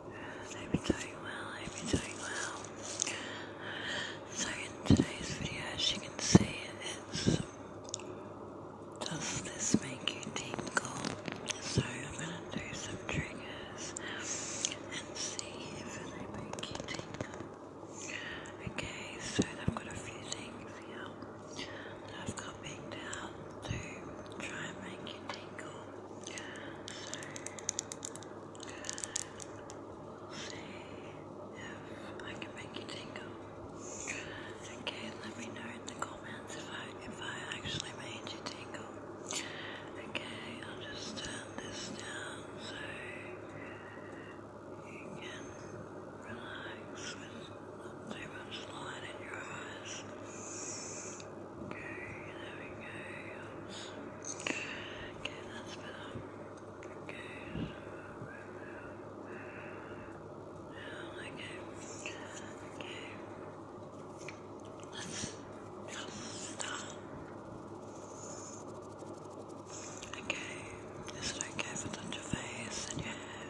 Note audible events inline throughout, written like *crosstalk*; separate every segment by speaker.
Speaker 1: I've doing well, I've doing well. So in today's video, as you can see, it's does this make you tingle? So I'm gonna do some triggers and see if they make you tingle. Okay, so I've got a few things here that I've got picked to try and make you tingle if I can make you tingle. Okay, let me know in the comments if I if I actually made you tingle. Okay, I'll just turn this down so you can relax with not too much light in your eyes. Okay, there we go. Okay, that's better. Okay, okay. Let's just start. Okay. Is it okay if I touch your face and your hair?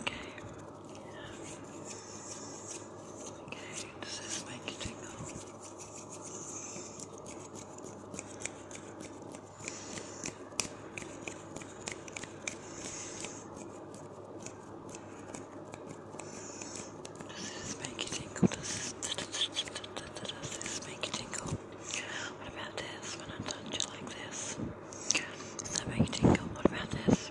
Speaker 1: okay? Okay, does this make you tingle? Does this make you tingle?
Speaker 2: Does this make you tingle? What about this when I touch you like this? Does that make you tingle? What about this?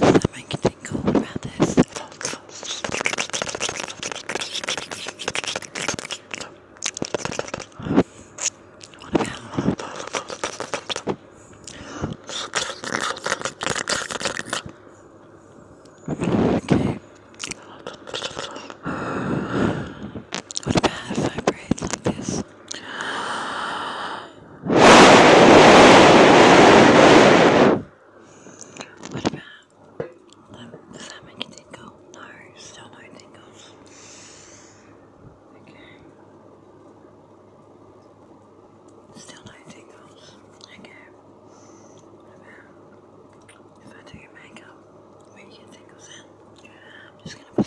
Speaker 2: that make you tingle about this? What about? Okay. What about if I breathe like this? What about? Um, does that tingle? No, still no tingles. Okay. Still no tingles. Okay. What about if I do your makeup? Where you get tingles in? I'm just gonna put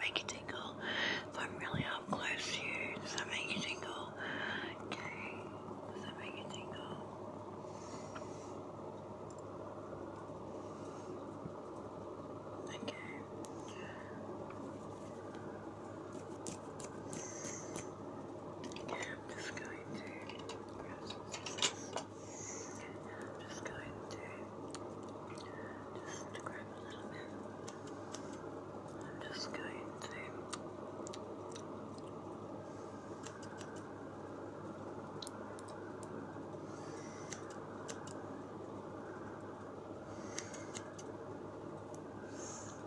Speaker 3: make you tingle. So I'm really up close to you. Does that make you tingle? Okay. Does that make you tingle? Okay. I'm just going to grab I'm just going to just grab I'm just going to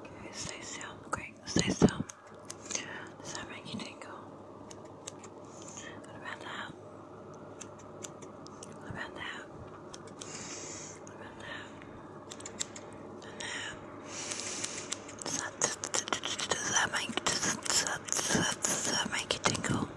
Speaker 3: Okay, stay still, great, stay still. Does that make you tingle? What about that? What about that? Does that, make you tingle?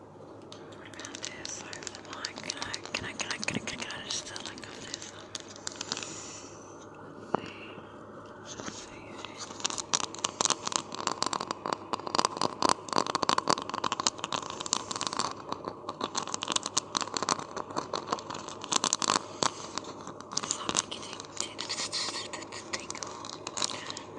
Speaker 3: around here, so am I, can I, can I, can I, can I, can I, can I just still like of this? Let's see, let's see. It's not making the tingle.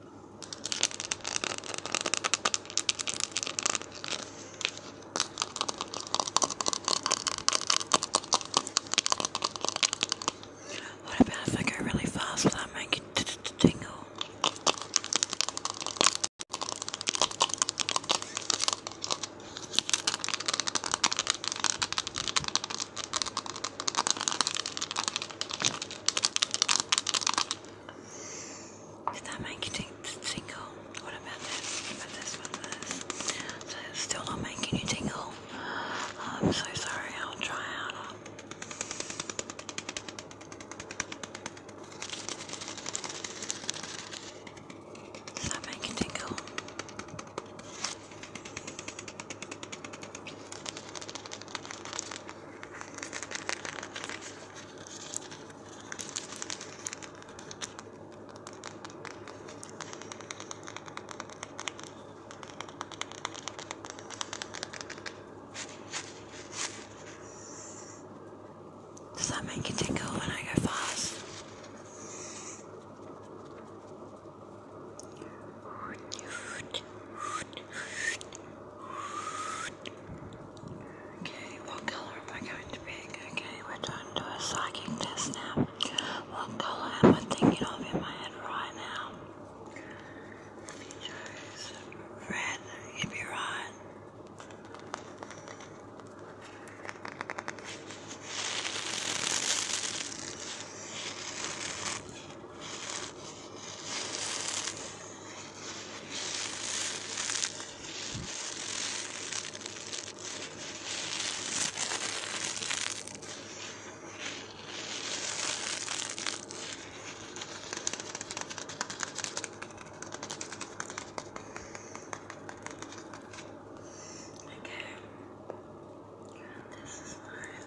Speaker 4: What about if I go really fast without making it tingle? Does that make you tingle? What about this? What this one? This? still not making you tingle. I'm so sorry. I'll try harder. Does that make you tingle? Does that make you tickle when I go fast? Okay, what color am I going to pick? Okay, we're going to a psychic test now. What color am I thinking of in my head right now? If red, you'd be right. Okay. This is mine.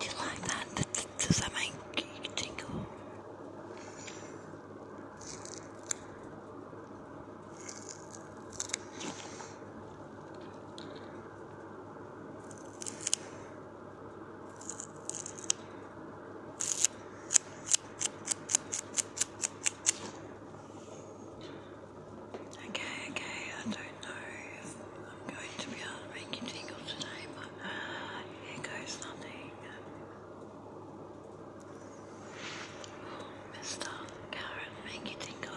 Speaker 4: Do you like that? Does that make you tingle? Okay, okay, I don't know if I'm going to be able to make you tingle today, but uh, here goes nothing. Oh, Mr. Karen, make you tingle.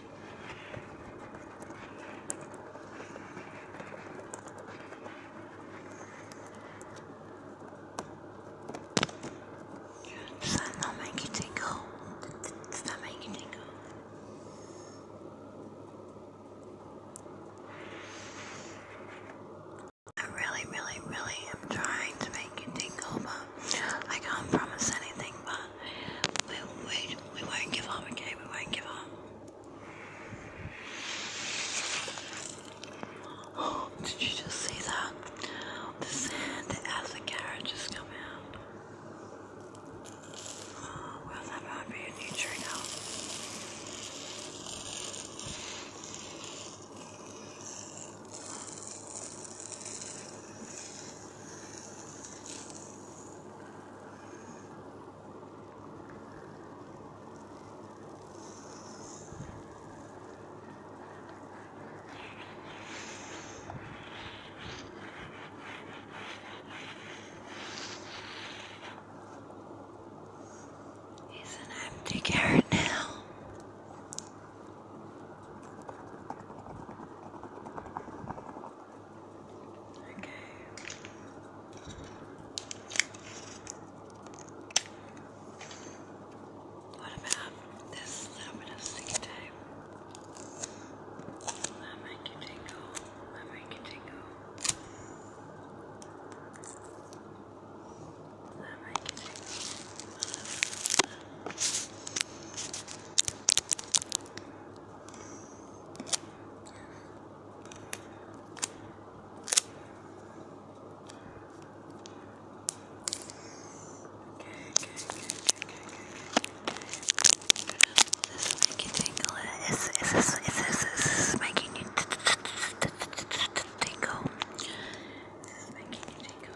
Speaker 4: Does that make you tingle? Does that make you tingle? I really, really, really am trying to make you tingle, but I can't promise anything, but we, we, we won't give up, okay? We won't give up. *gasps* did you just see that? The sand as the carrot just come out. Oh, that might be a new trigger. He's an empty carrot now. Okay. What about this little bit of sea time? That make you tingle. That make you tingle. That make you tingle. Is this is this is this making you tingle? Is this making you tingle?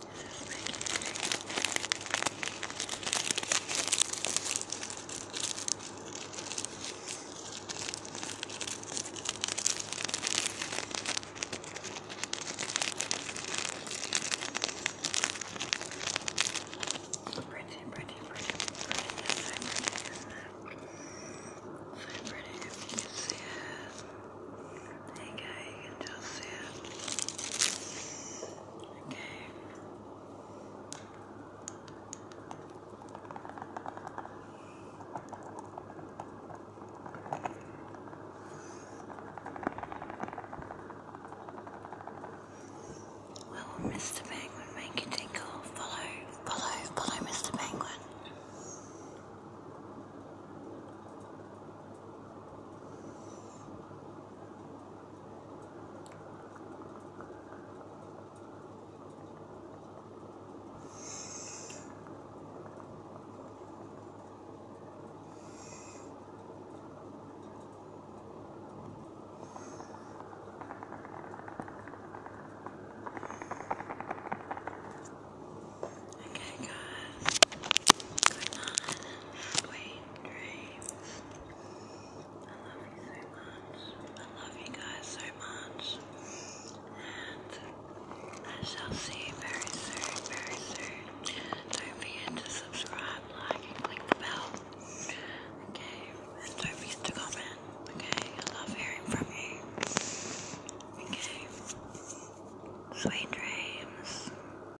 Speaker 4: Pretty, pretty, pretty, pretty, yes, I'm pretty, isn't pretty you can see it. There you you can just see it. Okay. Mr. Penguin make you tinkle? Follow, follow, follow Mr. Penguin. Okay, guys, going on halfway dreams. I love you so much. I love you guys so much. And I shall see you very soon, very soon. Don't forget to subscribe, like, click the bell. Okay? And don't forget to comment. Okay? I love hearing from you. Okay? Sweet dreams.